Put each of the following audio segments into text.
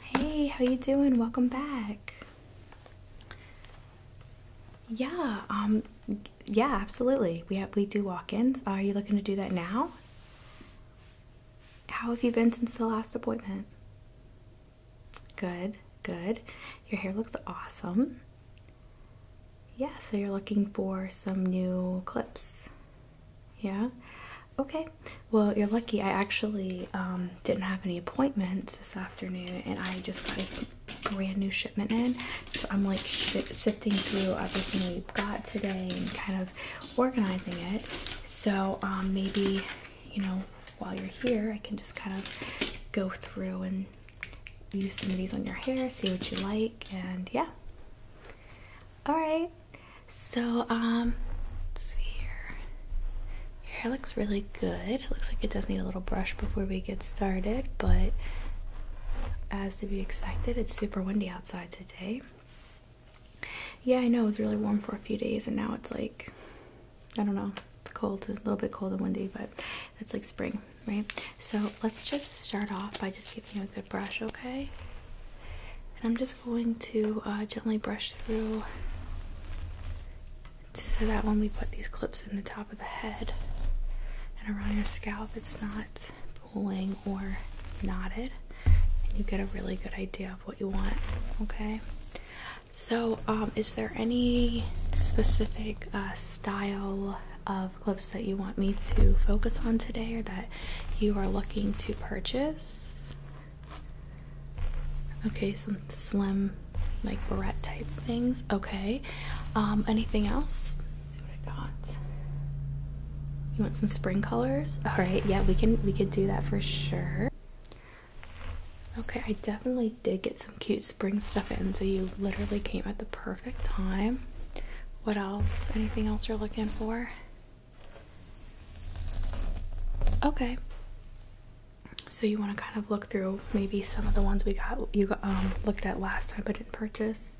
Hey, how you doing? Welcome back. Yeah, um yeah, absolutely. We we do walk-ins. Are you looking to do that now? How have you been since the last appointment? Good, good. Your hair looks awesome. Yeah, so you're looking for some new clips. Yeah? Okay. Well, you're lucky. I actually um, didn't have any appointments this afternoon and I just got a brand new shipment in. So I'm like sifting through everything we got today and kind of organizing it. So um, maybe, you know, while you're here, I can just kind of go through and use some of these on your hair, see what you like, and yeah. All right. So, um, see here. Your hair looks really good. It looks like it does need a little brush before we get started, but as to be expected, it's super windy outside today. Yeah, I know it was really warm for a few days, and now it's like, I don't know, it's cold, a little bit cold and windy, but it's like spring, right? So let's just start off by just giving you a good brush, okay? And I'm just going to uh, gently brush through so that when we put these clips in the top of the head and around your scalp, it's not pulling or knotted, and you get a really good idea of what you want. Okay. So, um, is there any specific uh, style of clips that you want me to focus on today or that you are looking to purchase? Okay, some slim, like barrette type things. Okay. Um, anything else? You want some spring colors? Alright, yeah, we can we could do that for sure. Okay, I definitely did get some cute spring stuff in, so you literally came at the perfect time. What else? Anything else you're looking for? Okay. So you want to kind of look through maybe some of the ones we got you um, looked at last time but didn't purchase.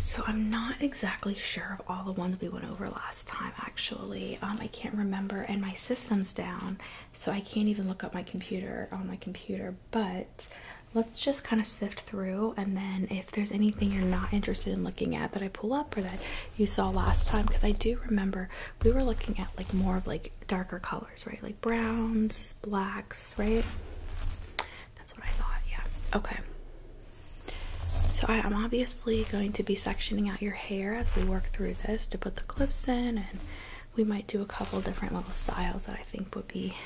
So I'm not exactly sure of all the ones we went over last time. Actually, um, I can't remember, and my system's down, so I can't even look up my computer on my computer. But let's just kind of sift through, and then if there's anything you're not interested in looking at that I pull up or that you saw last time because I do remember we were looking at like more of like darker colors, right? Like browns, blacks, right? That's what I thought, yeah. Okay. So I, am obviously going to be sectioning out your hair as we work through this to put the clips in and we might do a couple different little styles that I think would be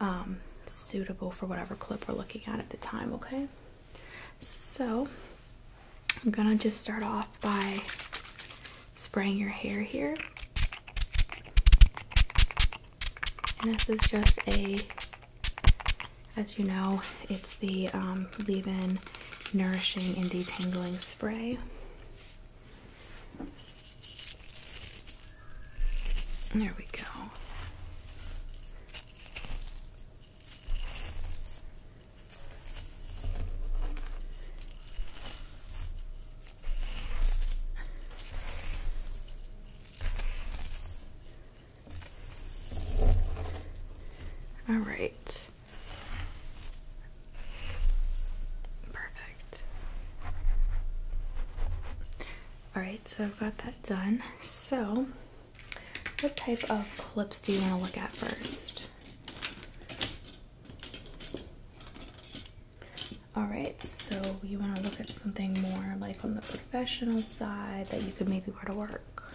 um, suitable for whatever clip we're looking at at the time, okay? So I'm gonna just start off by spraying your hair here. And this is just a, as you know, it's the um, leave in nourishing and detangling spray. There we go. All right. Perfect. All right, so I've got that done. So what type of clips do you want to look at first? Alright, so you want to look at something more like on the professional side that you could maybe wear to work.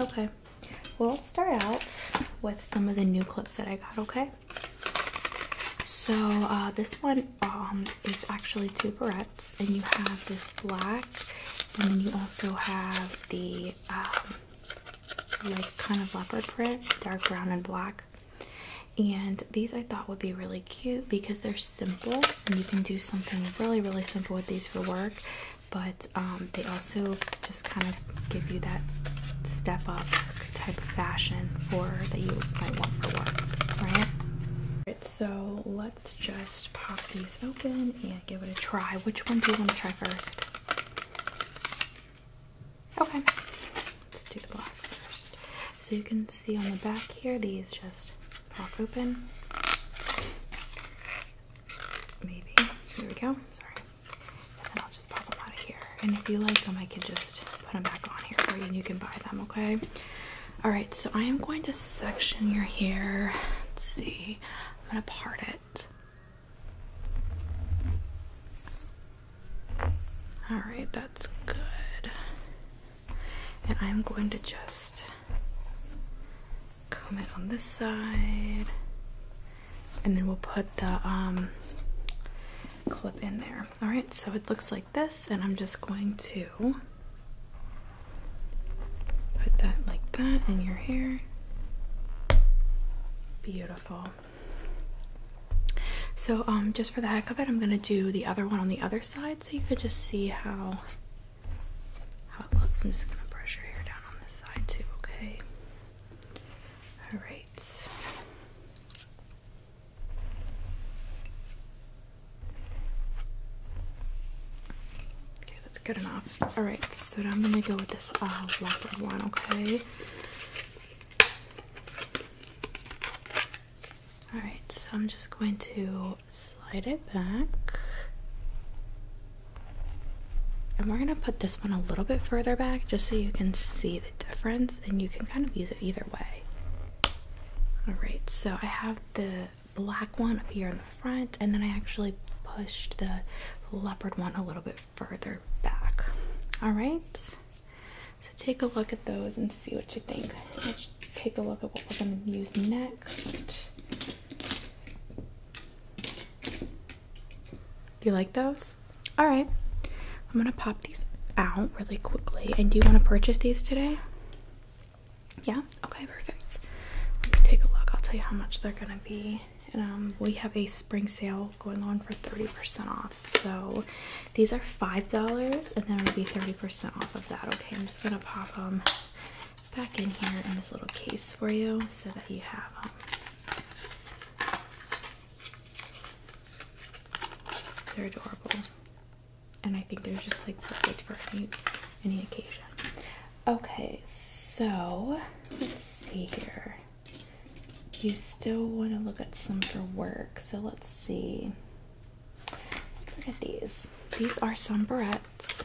Okay, well, let's start out with some of the new clips that I got, okay? So, uh, this one um, it's actually two barrettes, and you have this black, and then you also have the um, like kind of leopard print, dark brown and black. And these I thought would be really cute because they're simple, and you can do something really, really simple with these for work. But um, they also just kind of give you that step up type of fashion for that you might want for work, right? so let's just pop these open and give it a try. Which one do you want to try first? Okay, let's do the black first. So you can see on the back here, these just pop open. Maybe. There we go. Sorry. And I'll just pop them out of here. And if you like them, I could just put them back on here for you and you can buy them, okay? Alright, so I am going to section your hair. Let's see. I'm gonna part it. Alright, that's good. And I'm going to just comb it on this side. And then we'll put the um, clip in there. Alright, so it looks like this, and I'm just going to put that like that in your hair. Beautiful. So, um, just for the heck of it, I'm gonna do the other one on the other side so you can just see how how it looks. I'm just gonna brush your hair down on this side too, okay? Alright. Okay, that's good enough. All right, so I'm gonna go with this uh, leopard one. Okay. All right, so I'm just going to slide it back. And we're going to put this one a little bit further back just so you can see the difference and you can kind of use it either way. Alright, so I have the black one up here in the front, and then I actually pushed the leopard one a little bit further back. Alright, so take a look at those and see what you think. take a look at what we're going to use next. you like those? Alright, I'm gonna pop these out really quickly. And do you want to purchase these today? Yeah. Okay. Perfect. Let me take a look. I'll tell you how much they're gonna be. And um, we have a spring sale going on for 30% off. So these are $5 and then it'll be 30% off of that. Okay, I'm just going to pop them back in here in this little case for you so that you have them. They're adorable and I think they're just like perfect for any any occasion. Okay, so let's see here. You still want to look at some for work, so let's see. Let's look at these. These are some barrettes.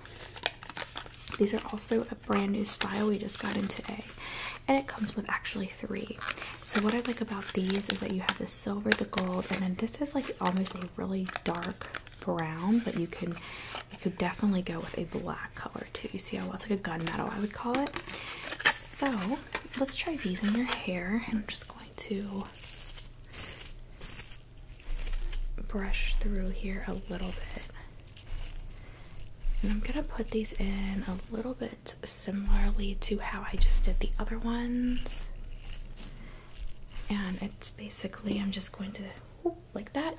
These are also a brand new style we just got in today, and it comes with actually three. So what I like about these is that you have the silver, the gold, and then this is like almost a really dark brown, but you can you could definitely go with a black color too. You see how well it's like a gunmetal I would call it. So let's try these in your hair, and I'm just going to brush through here a little bit. And I'm gonna put these in a little bit similarly to how I just did the other ones. And it's basically, I'm just going to, like that.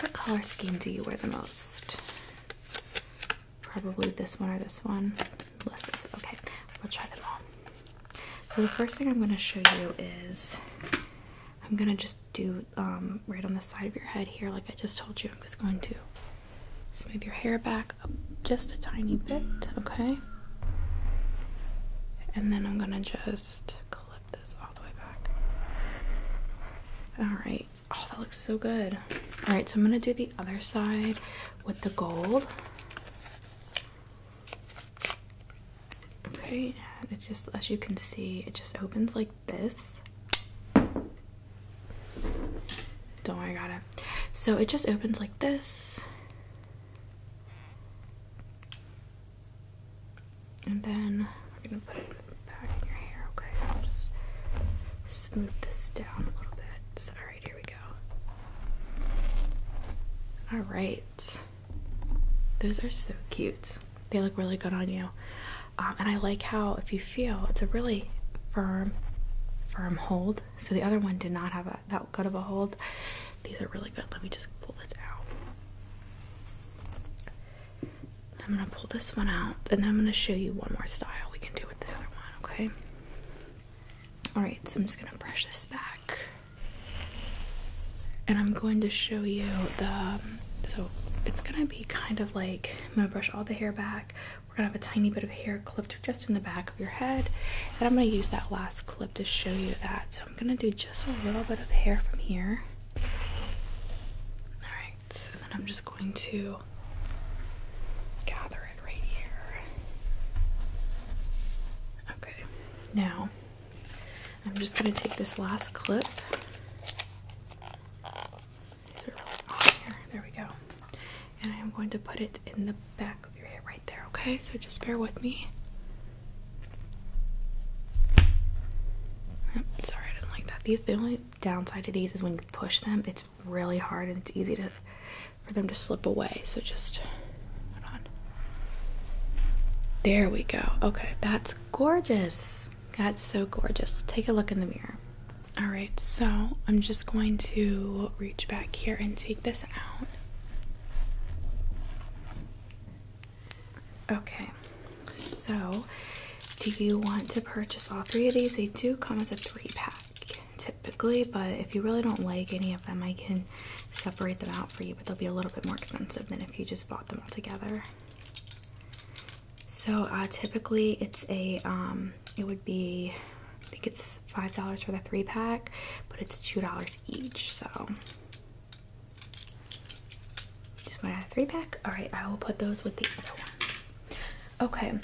What color scheme do you wear the most? Probably this one or this one. Less this. Okay, we'll try them all. So the first thing I'm going to show you is I'm going to just do um, right on the side of your head here, like I just told you. I'm just going to Smooth your hair back up just a tiny bit, okay? And then I'm gonna just clip this all the way back. Alright. Oh, that looks so good. Alright, so I'm gonna do the other side with the gold. Okay, and it just, as you can see, it just opens like this. Don't worry, I got it. So it just opens like this. And then I'm gonna put it back in your hair, okay? I'll just smooth this down a little bit. Alright, here we go. Alright. Those are so cute. They look really good on you. Um, and I like how, if you feel, it's a really firm, firm hold. So the other one did not have that good of a hold. These are really good. Let me just pull this out. I'm gonna pull this one out and I'm gonna show you one more style we can do with the other one, okay? Alright, so I'm just gonna brush this back. And I'm going to show you the so it's gonna be kind of like I'm gonna brush all the hair back we're gonna have a tiny bit of hair clipped just in the back of your head, and I'm gonna use that last clip to show you that. So I'm gonna do just a little bit of hair from here. All right, so then I'm just going to gather it right here. Okay, now I'm just gonna take this last clip. here? There we go and I am going to put it in the back of your hair right there, okay? So just bear with me. sorry, I didn't like that. These the only downside to these is when you push them, it's really hard and it's easy to for them to slip away. So just hold on. There we go. Okay, that's gorgeous. That's so gorgeous. Take a look in the mirror. All right, so I'm just going to reach back here and take this out. Okay, so do you want to purchase all three of these? They do come as a three pack typically, but if you really don't like any of them, I can separate them out for you, but they'll be a little bit more expensive than if you just bought them all together. So uh, typically it's a um, it would be I think it's five dollars for the three pack, but it's two dollars each. So just want a three pack. All right, I will put those with the other ones. Okay.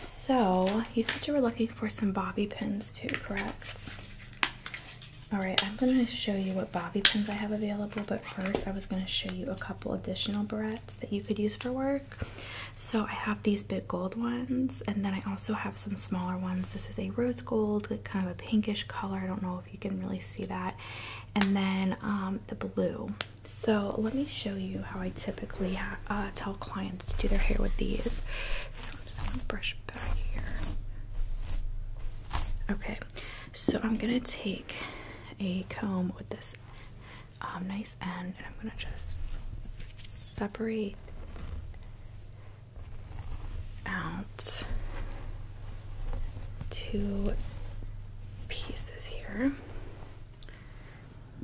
So you said you were looking for some bobby pins too, correct? All right, I'm gonna show you what bobby pins I have available, but first I was gonna show you a couple additional barrettes that you could use for work. So I have these big gold ones, and then I also have some smaller ones. This is a rose gold, kind of a pinkish color. I don't know if you can really see that. And then um, the blue. So let me show you how I typically uh, tell clients to do their hair with these. So I'm just gonna brush back here. Okay, so I'm gonna take a comb with this um, nice end, and I'm gonna just separate out two pieces here.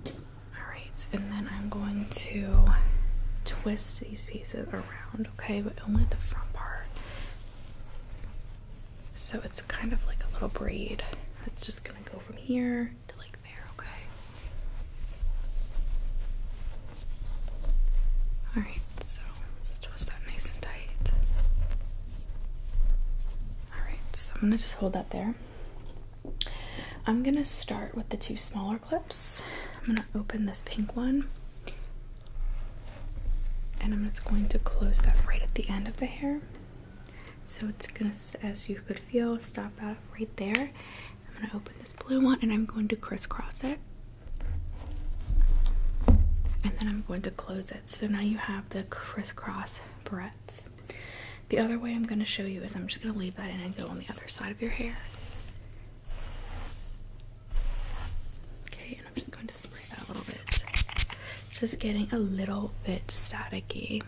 All right, and then I'm going to twist these pieces around, okay, but only the front part. So it's kind of like a little braid. It's just gonna go from here to like there, okay? Alright, so let's twist that nice and tight. Alright, so I'm gonna just hold that there. I'm gonna start with the two smaller clips. I'm gonna open this pink one and I'm just going to close that right at the end of the hair. So it's gonna, as you could feel, stop out right there. I'm gonna open this blue one and I'm going to crisscross it. And then I'm going to close it. So now you have the crisscross barrettes. The other way I'm gonna show you is I'm just gonna leave that and go on the other side of your hair. Okay, and I'm just going to spray that a little bit. Just getting a little bit staticky.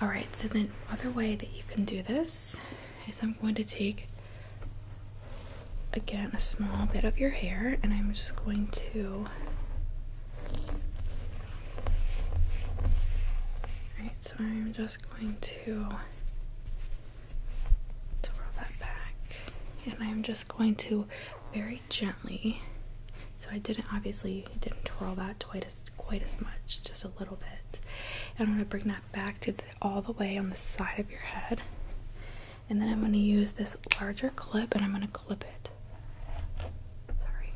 All right, so then other way that you can do this is I'm going to take again a small bit of your hair and I'm just going to all right, so I'm just going to twirl that back and I'm just going to very gently so I didn't obviously didn't twirl that twice quite as much, just a little bit. And I'm going to bring that back to the, all the way on the side of your head. And then I'm going to use this larger clip and I'm going to clip it. Sorry,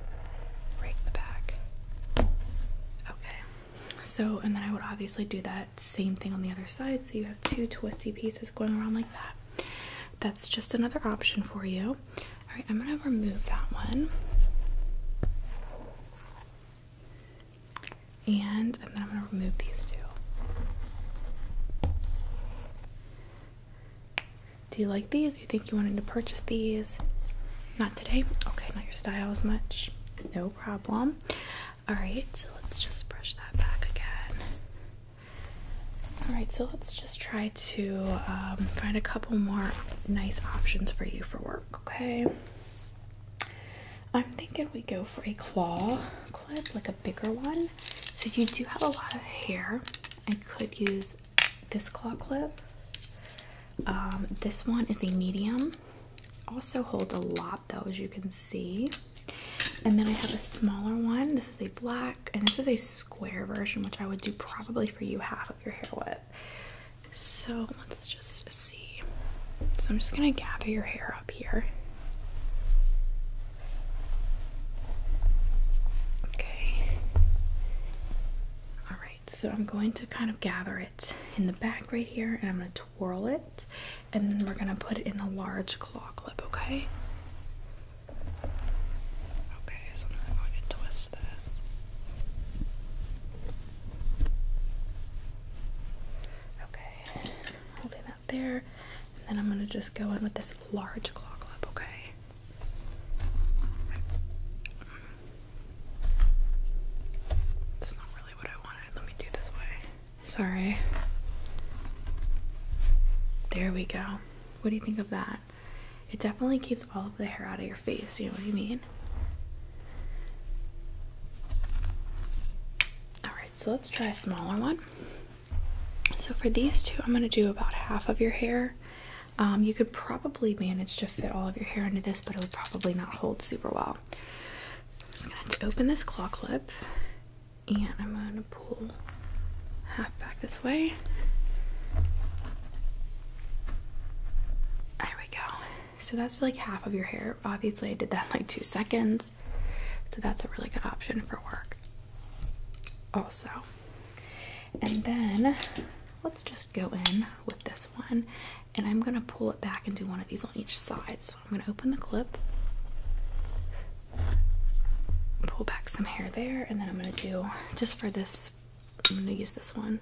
right in the back. Okay, so and then I would obviously do that same thing on the other side. So you have two twisty pieces going around like that. That's just another option for you. All right, I'm going to remove that one. And, then I'm going to remove these two. Do you like these? You think you wanted to purchase these? Not today? Okay, not your style as much. No problem. Alright, so let's just brush that back again. Alright, so let's just try to um, find a couple more nice options for you for work, okay? I'm thinking we go for a claw clip, like a bigger one. So you do have a lot of hair. I could use this claw clip. Um, this one is a medium. Also holds a lot though, as you can see. And then I have a smaller one. This is a black, and this is a square version, which I would do probably for you half your hair wet, So let's just see. So I'm just gonna gather your hair up here. Okay. Alright, so I'm going to kind of gather it in the back right here and I'm gonna twirl it and then we're gonna put it in the large claw clip, okay? Okay, so I'm going to twist this. Okay, holding that there, and then I'm going to just go in with this large clock clip, okay? It's not really what I wanted. Let me do this way. Sorry. There we go. What do you think of that? it definitely keeps all of the hair out of your face, you know what I mean? Alright, so let's try a smaller one. So for these two, I'm going to do about half of your hair. Um, you could probably manage to fit all of your hair into this, but it would probably not hold super well. I'm just going to open this claw clip and I'm going to pull half back this way. There we go. So that's like half of your hair. Obviously, I did that in like two seconds. So that's a really good option for work, also. And then let's just go in with this one. And I'm gonna pull it back and do one of these on each side. So I'm gonna open the clip, pull back some hair there, and then I'm gonna do just for this I'm gonna use this one.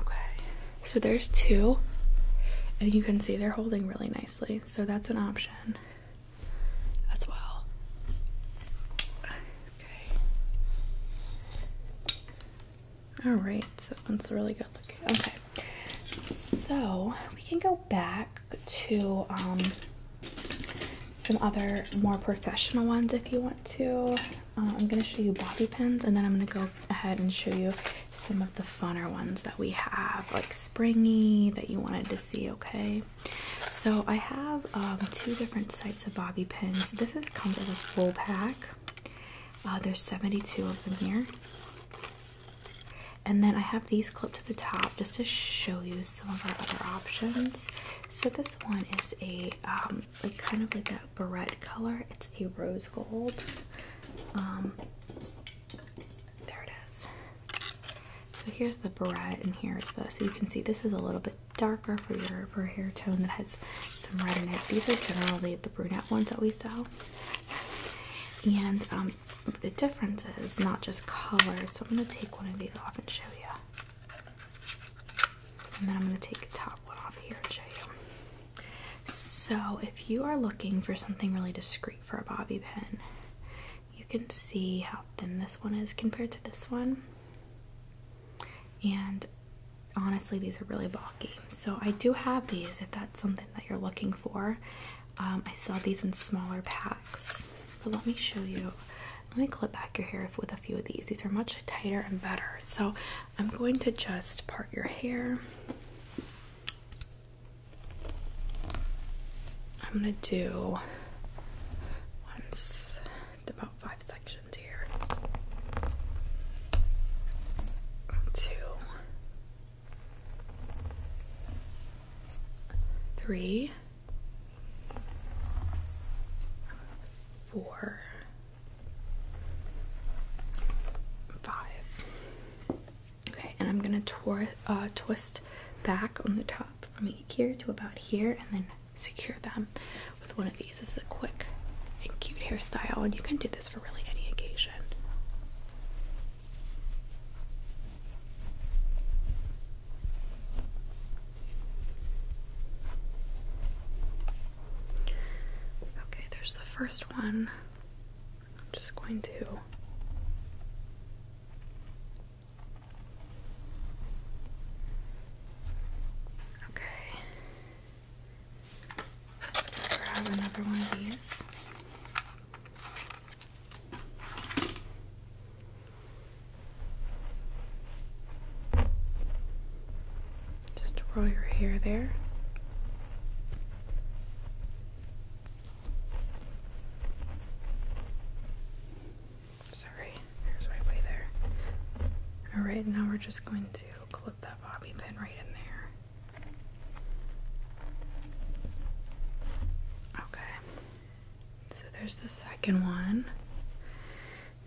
Okay, so there's two, and you can see they're holding really nicely, so that's an option as well. Okay, all right, so that one's really good looking. Okay, so we can go back to um, some other more professional ones if you want to. Uh, I'm going to show you bobby pins and then I'm going to go ahead and show you some of the funner ones that we have, like springy that you wanted to see, okay? So I have um, two different types of bobby pins. This is comes as a full pack. Uh, there's 72 of them here. And then I have these clip the top just to show you some of our other options. So this one is a um, kind of like that barrette color. It's a rose gold. Um, there it is. So here's the barrette, and here's the. So you can see this is a little bit darker for your hair tone that has some red in it. These are generally the brunette ones that we sell. And um, the difference is not just color, So I'm going to take one of these off and show you. And then I'm going to take the top one off here and show you. So if you are looking for something really discreet for a bobby pin, you can see how thin this one is compared to this one. And honestly, these are really bulky. So I do have these if that's something that you're looking for. Um, I sell these in smaller packs, but let me show you. Let me clip back your hair with a few of these. These are much tighter and better. So I'm going to just part your hair. I'm gonna do once about five sections here. Two, three four, five. Okay, and I'm gonna uh, twist back on the top from here to about here, and then secure them with one of these. This is a quick and cute hairstyle, and you can do this for really any occasion. Okay, there's the first one. I'm just going to Okay. grab another one of these. Just roll your hair there. Sorry, there's my way there. Alright, now we're just going to clip that bobby pin right in there. Okay. So there's the second one.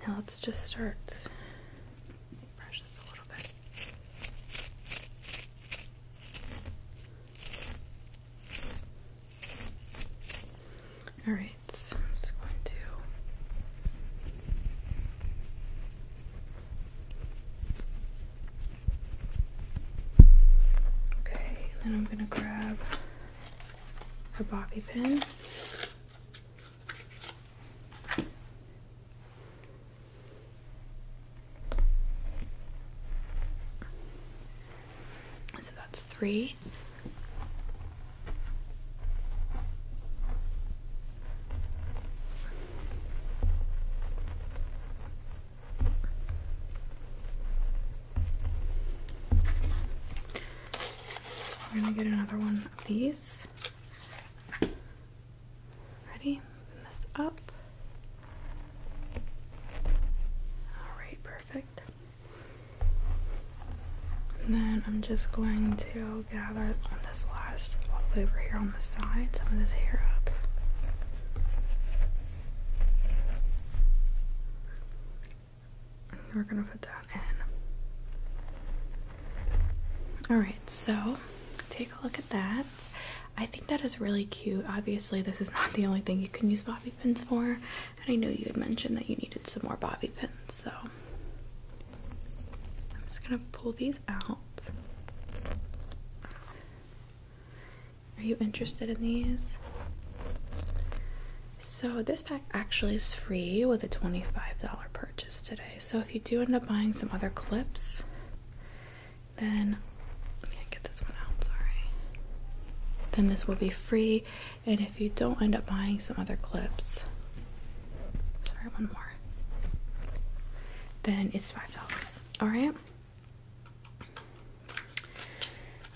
Now let's just start. All right, so I'm just going to. Okay, then I'm going to grab a bobby pin. So that's three. We're gonna get another one of these. Ready? Open this up. Alright, perfect. And then I'm just going to gather on this last over here on the side some of this hair up. We're gonna put that in. Alright, so take a look at that. I think that is really cute. Obviously, this is not the only thing you can use bobby pins for, and I know you had mentioned that you needed some more bobby pins, so I'm just gonna pull these out. Are you interested in these? So, this pack actually is free with a $25 purchase today. So, if you do end up buying some other clips, then let me get this one out. Sorry. Then this will be free. And if you don't end up buying some other clips, sorry, one more, then it's $5. All right.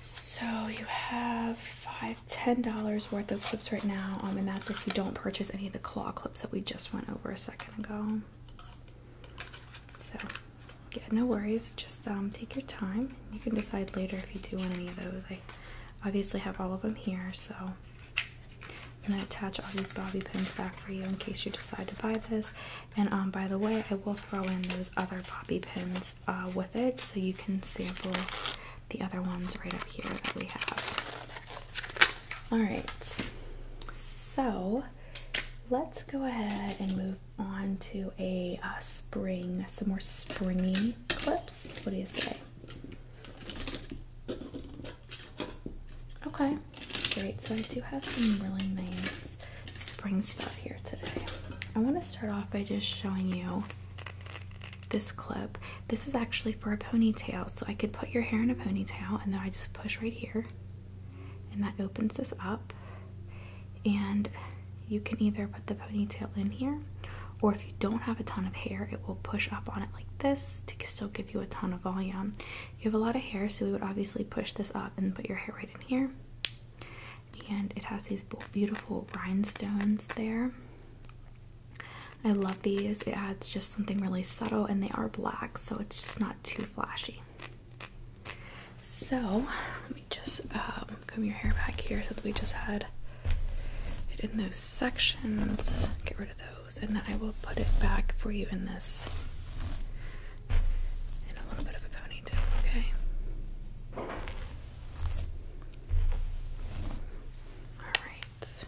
So you have five, ten dollars worth of clips right now, um, and that's if you don't purchase any of the claw clips that we just went over a second ago. So, yeah, no worries. Just um, take your time. You can decide later if you do want any of those. I obviously have all of them here, so I'm gonna attach all these bobby pins back for you in case you decide to buy this. And um, by the way, I will throw in those other bobby pins uh, with it so you can sample the other ones right up here that we have. Alright, so let's go ahead and move on to a uh, spring, some more springy clips. What do you say? Okay, great. So I do have some really nice spring stuff here today. I want to start off by just showing you this clip. This is actually for a ponytail, so I could put your hair in a ponytail and then I just push right here, and that opens this up. And you can either put the ponytail in here, or if you don't have a ton of hair, it will push up on it like this to still give you a ton of volume. You have a lot of hair, so we would obviously push this up and put your hair right in here and it has these beautiful rhinestones there. I love these. It adds just something really subtle, and they are black, so it's just not too flashy. So, let me just um, comb your hair back here so that we just had it in those sections. Get rid of those, and then I will put it back for you in this and a little bit of a ponytail, okay? Alright.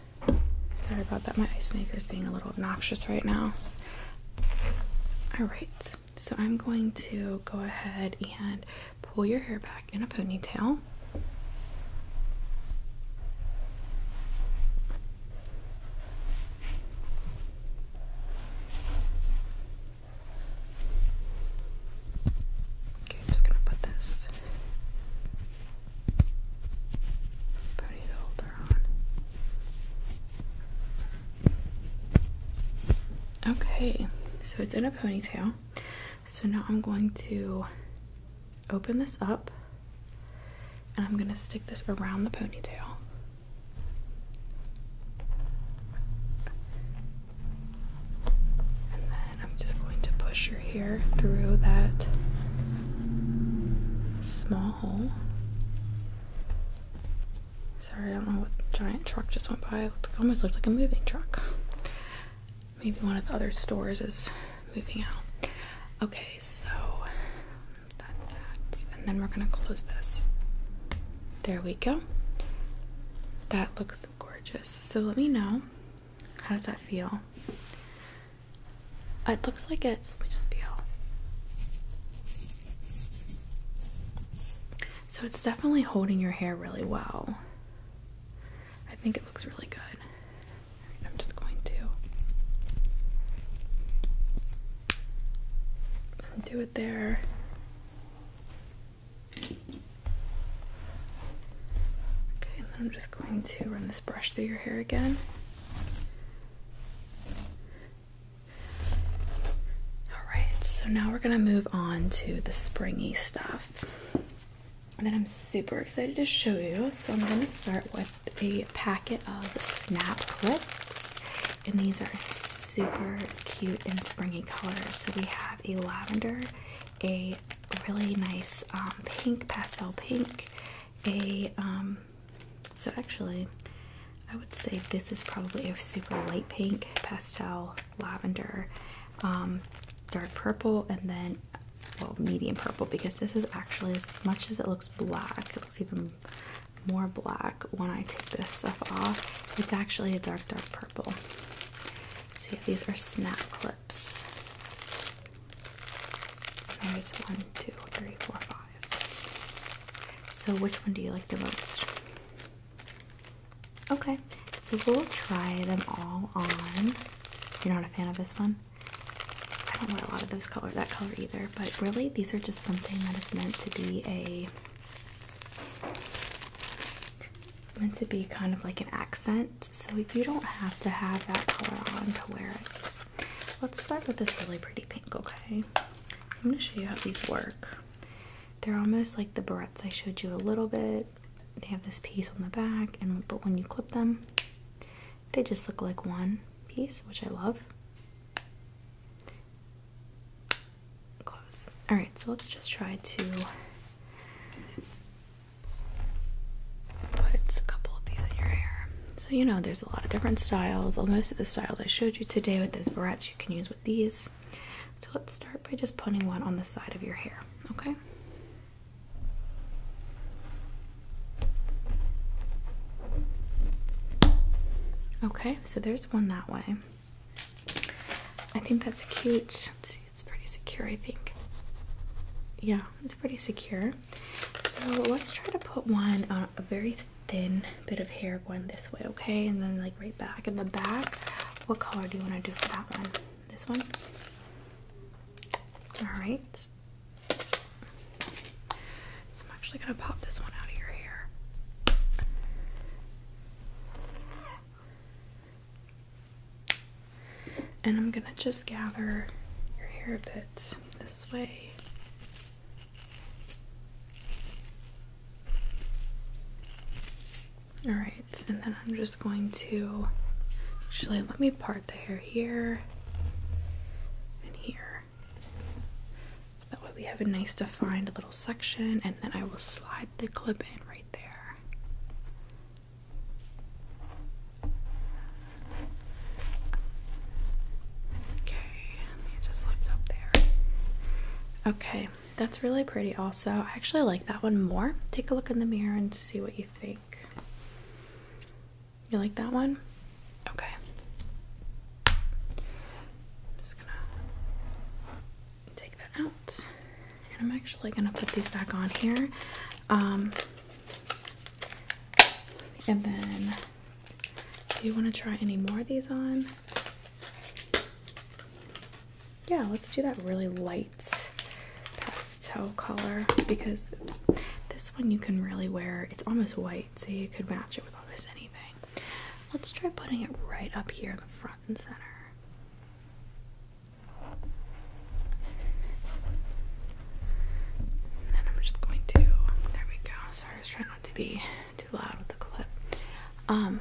Sorry about that, my ice maker is being a little obnoxious right now. Alright, so I'm going to go ahead and pull your hair back in a ponytail. Okay, I'm just gonna put this pony holder on. Okay, so it's in a ponytail. So now I'm going to open this up and I'm gonna stick this around the ponytail. And then I'm just going to push your hair through that small hole. Sorry, I don't know what giant truck just went by. almost looked like a moving truck. Maybe one of the other stores is moving out. Okay, so that, that, and then we're gonna close this. There we go. That looks gorgeous. So let me know. How does that feel? It looks like it. Let me just feel. So it's definitely holding your hair really well. I think it looks really good. I'm just going to do it there. Okay, I'm just going to run this brush through your hair again. Alright, so now we're going to move on to the springy stuff that I'm super excited to show you. So I'm going to start with a packet of snap clips and these are super cute and springy colors. So we have a lavender, a really nice um, pink, pastel pink, a um, so actually I would say this is probably a super light pink, pastel, lavender, um, dark purple, and then well medium purple because this is actually as much as it looks black, it looks even more black when I take this stuff off. It's actually a dark, dark purple. So, yeah, these are snap clips. There's one, two, three, four, five. So, which one do you like the most? Okay, so we'll try them all on. You're not a fan of this one? I don't wear a lot of those color that color either, but really these are just something that is meant to be a meant to be kind of like an accent, so if you don't have to have that color on to wear it. Let's start with this really pretty pink, okay? I'm gonna show you how these work. They're almost like the barrettes I showed you a little bit. They have this piece on the back, and but when you clip them, they just look like one piece, which I love close. Alright, so let's just try to put a couple of these in your hair. So, you know, there's a lot of different styles. Most of the styles I showed you today with those barrettes, you can use with these. So, let's start by just putting one on the side of your hair, okay? Okay, so there's one that way. I think that's cute. see, it's pretty secure, I think. Yeah, it's pretty secure. So let's try to put one uh, a very thin bit of hair going this way, okay? And then like right back in the back. What color do you want to do for that one? This one? Alright. So I'm actually going to pop this one out of your hair. And I'm going to just gather your hair a bit this way. Alright, and then I'm just going to actually let me part the hair here and here that way we have a nice defined little section, and then I will slide the clip in right there. Okay, let me just lift up there. Okay, that's really pretty, also. I actually like that one more. Take a look in the mirror and see what you think. You like that one? Okay. I'm just gonna take that out, and I'm actually gonna put these back on here, um, and then do you want to try any more of these on? Yeah, let's do that really light pastel color because this one you can really wear. It's almost white, so you could match it with almost anything. Let's try putting it right up here in the front and center. then I'm just going to there we go. Sorry, I was trying not to be too loud with the clip. Um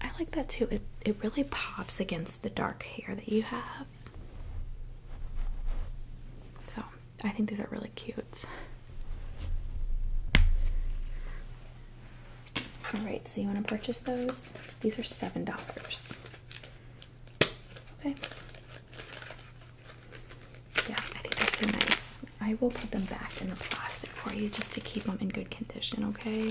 I like that too. It it really pops against the dark hair that you have. So I think these are really cute. Alright, so you want to purchase those? These are $7. Okay. Yeah, I think they're so nice. I will put them back in the plastic for you just to keep them in good condition, okay?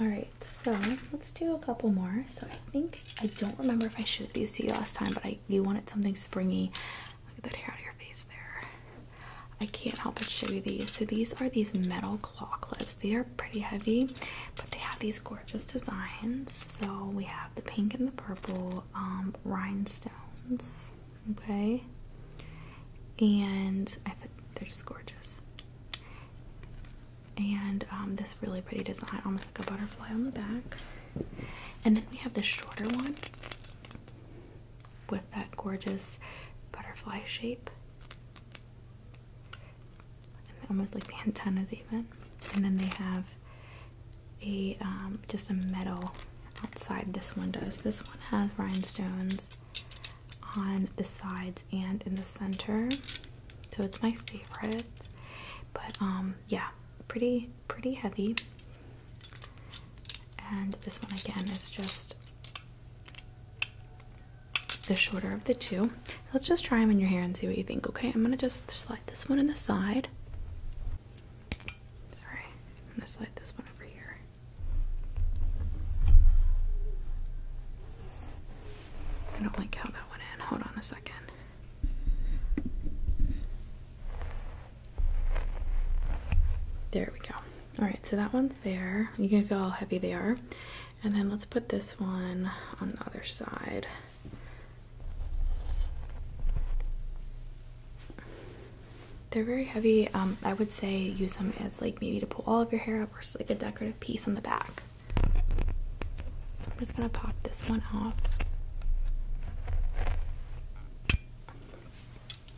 Alright, so let's do a couple more. So I think I don't remember if I showed these to you last time, but I you wanted something springy. Look at that hair out of your face there. I can't help but show you these. So these are these metal claw clips. They are pretty heavy, but they have these gorgeous designs. So we have the pink and the purple um, rhinestones. Okay, and they're just gorgeous and um, this really pretty design, almost like a butterfly on the back. And then we have the shorter one with that gorgeous butterfly shape, almost like the antennas even. And then they have a um, just a metal outside. This one does. This one has rhinestones on the sides and in the center, so it's my favorite. But um, yeah, pretty pretty heavy. And this one again is just the shorter of the two. Let's just try them in your hair and see what you think, okay? I'm gonna just slide this one in the side. Sorry, I'm gonna slide this one over here. I don't like how that went in. Hold on a second. There we go. All right, so that one's there. You can feel how heavy they are. And then let's put this one on the other side. They're very heavy. Um, I would say use them as like maybe to pull all of your hair up or just like a decorative piece on the back. I'm just gonna pop this one off.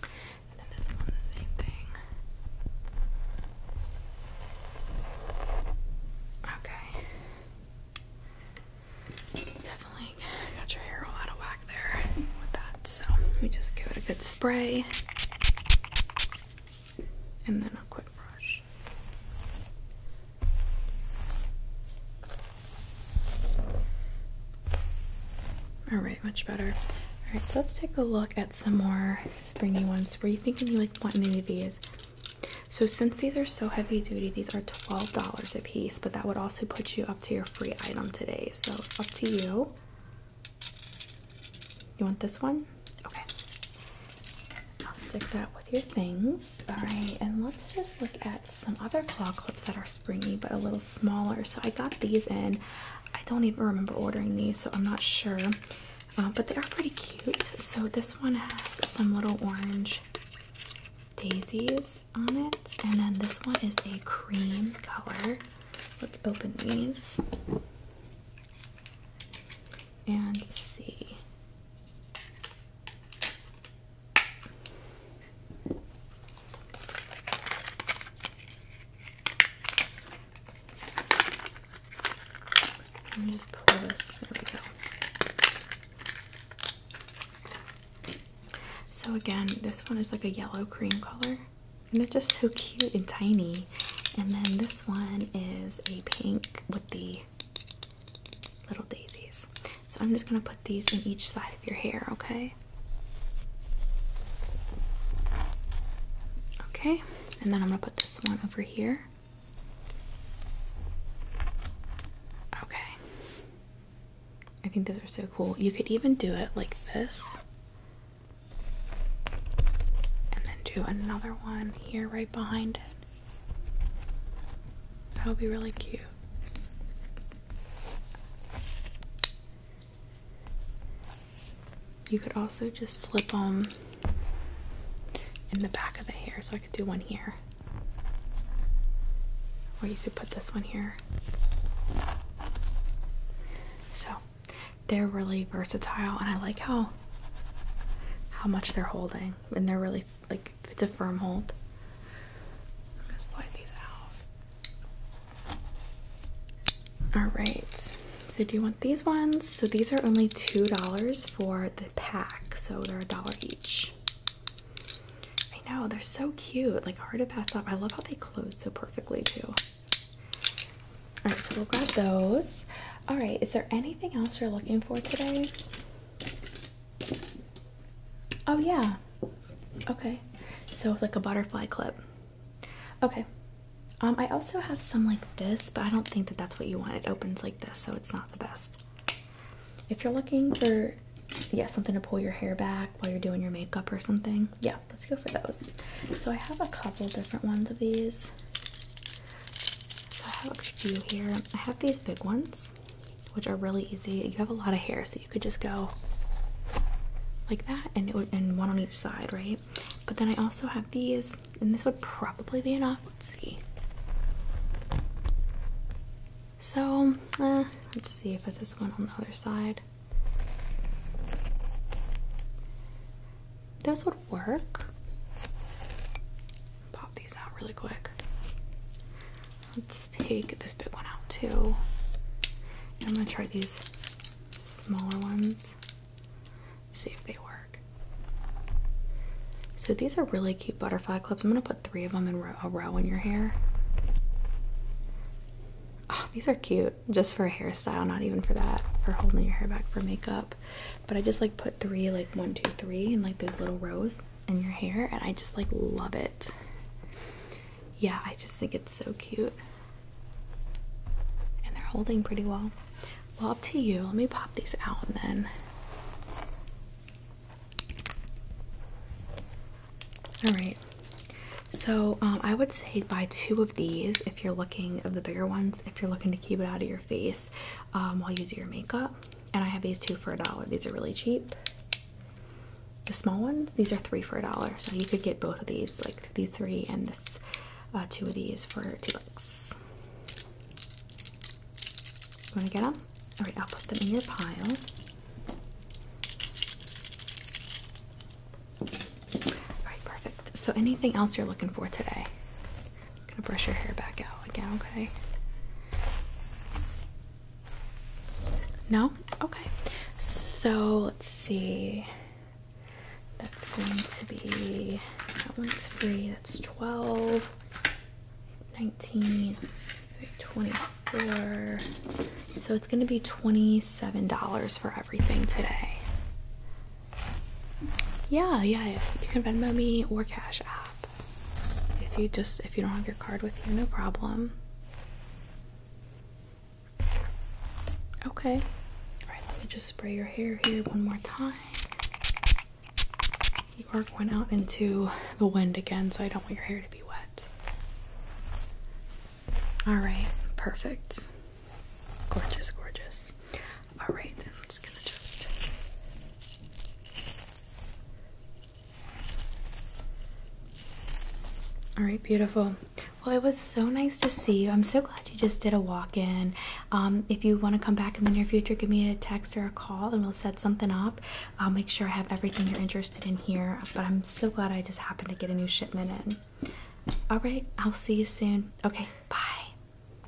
And then this one, the same thing. Okay. Definitely got your hair all out of whack there with that. So let me just give it a good spray and then a quick brush. All right, much better. All right, so let's take a look at some more springy ones. Were you thinking you like want any of these? So since these are so heavy duty, these are twelve dollars a piece, but that would also put you up to your free item today. So up to you. You want this one? Okay. I'll stick that with your things. All right, and let's just look at some other claw clips that are springy but a little smaller. So I got these in. I don't even remember ordering these, so I'm not sure. Uh, but they are pretty cute. So this one has some little orange daisies on it, and then this one is a cream color. Let's open these and see. Let me just pull this. There we go. So again, this one is like a yellow cream color. And they're just so cute and tiny. And then this one is a pink with the little daisies. So I'm just going to put these in each side of your hair, okay? Okay, and then I'm going to put this one over here. Okay. I think those are so cool. You could even do it like this. And then do another one here right behind it. That would be really cute. You could also just slip them in the back of the hair, so I could do one here. Or you could put this one here. So they're really versatile and I like how how much they're holding and they're really like if it's a firm hold. I'm slide these out. Alright, so do you want these ones? So these are only two dollars for the pack, so they're a dollar each. I know, they're so cute, like hard to pass up. I love how they close so perfectly too. Alright, so we'll grab those. Alright, is there anything else you're looking for today? Oh yeah. Okay. So like a butterfly clip. Okay. Um, I also have some like this, but I don't think that that's what you want. It opens like this, so it's not the best. If you're looking for, yeah, something to pull your hair back while you're doing your makeup or something, yeah, let's go for those. So I have a couple different ones of these. I have a few here. I have these big ones, which are really easy. You have a lot of hair, so you could just go like that, and and one on each side, right? But then I also have these, and this would probably be enough. Let's see. So eh, let's see if I put this one on the other side. Those would work. Pop these out really quick. Let's take this big one out too. I'm gonna try these smaller ones. See if they work. So these are really cute butterfly clips. I'm gonna put three of them in a row in your hair. Oh, these are cute just for a hairstyle, not even for that, for holding your hair back for makeup but I just like put three, like one, two, three, in like those little rows in your hair, and I just like love it. Yeah, I just think it's so cute. And they're holding pretty well. Well, up to you. Let me pop these out and then. Alright, so um, I would say buy two of these if you're looking of the bigger ones if you're looking to keep it out of your face um, while you do your makeup. And I have these two for a dollar. These are really cheap. The small ones, these are three for a dollar. So you could get both of these, like these three and this uh, two of these for two bucks. Want to get them? All right, I'll put them in your pile. All right, perfect. So anything else you're looking for today? I'm just gonna brush your hair back out again, okay? No? Okay. So let's see. That's going to be that one's free. That's 12, 19, 24. So it's gonna be $27 for everything today. Yeah, yeah, You can Venmo me or Cash App. If you just if you don't have your card with you, no problem. Okay. Alright, let me just spray your hair here one more time. You are going out into the wind again, so I don't want your hair to be wet. Alright, perfect. Gorgeous, gorgeous. Alright, I'm just gonna just Alright, beautiful. Well, it was so nice to see you. I'm so glad you just did a walk in. Um, if you want to come back in the near future, give me a text or a call and we'll set something up. I'll make sure I have everything you're interested in here. But I'm so glad I just happened to get a new shipment in. Alright, I'll see you soon. Okay, bye.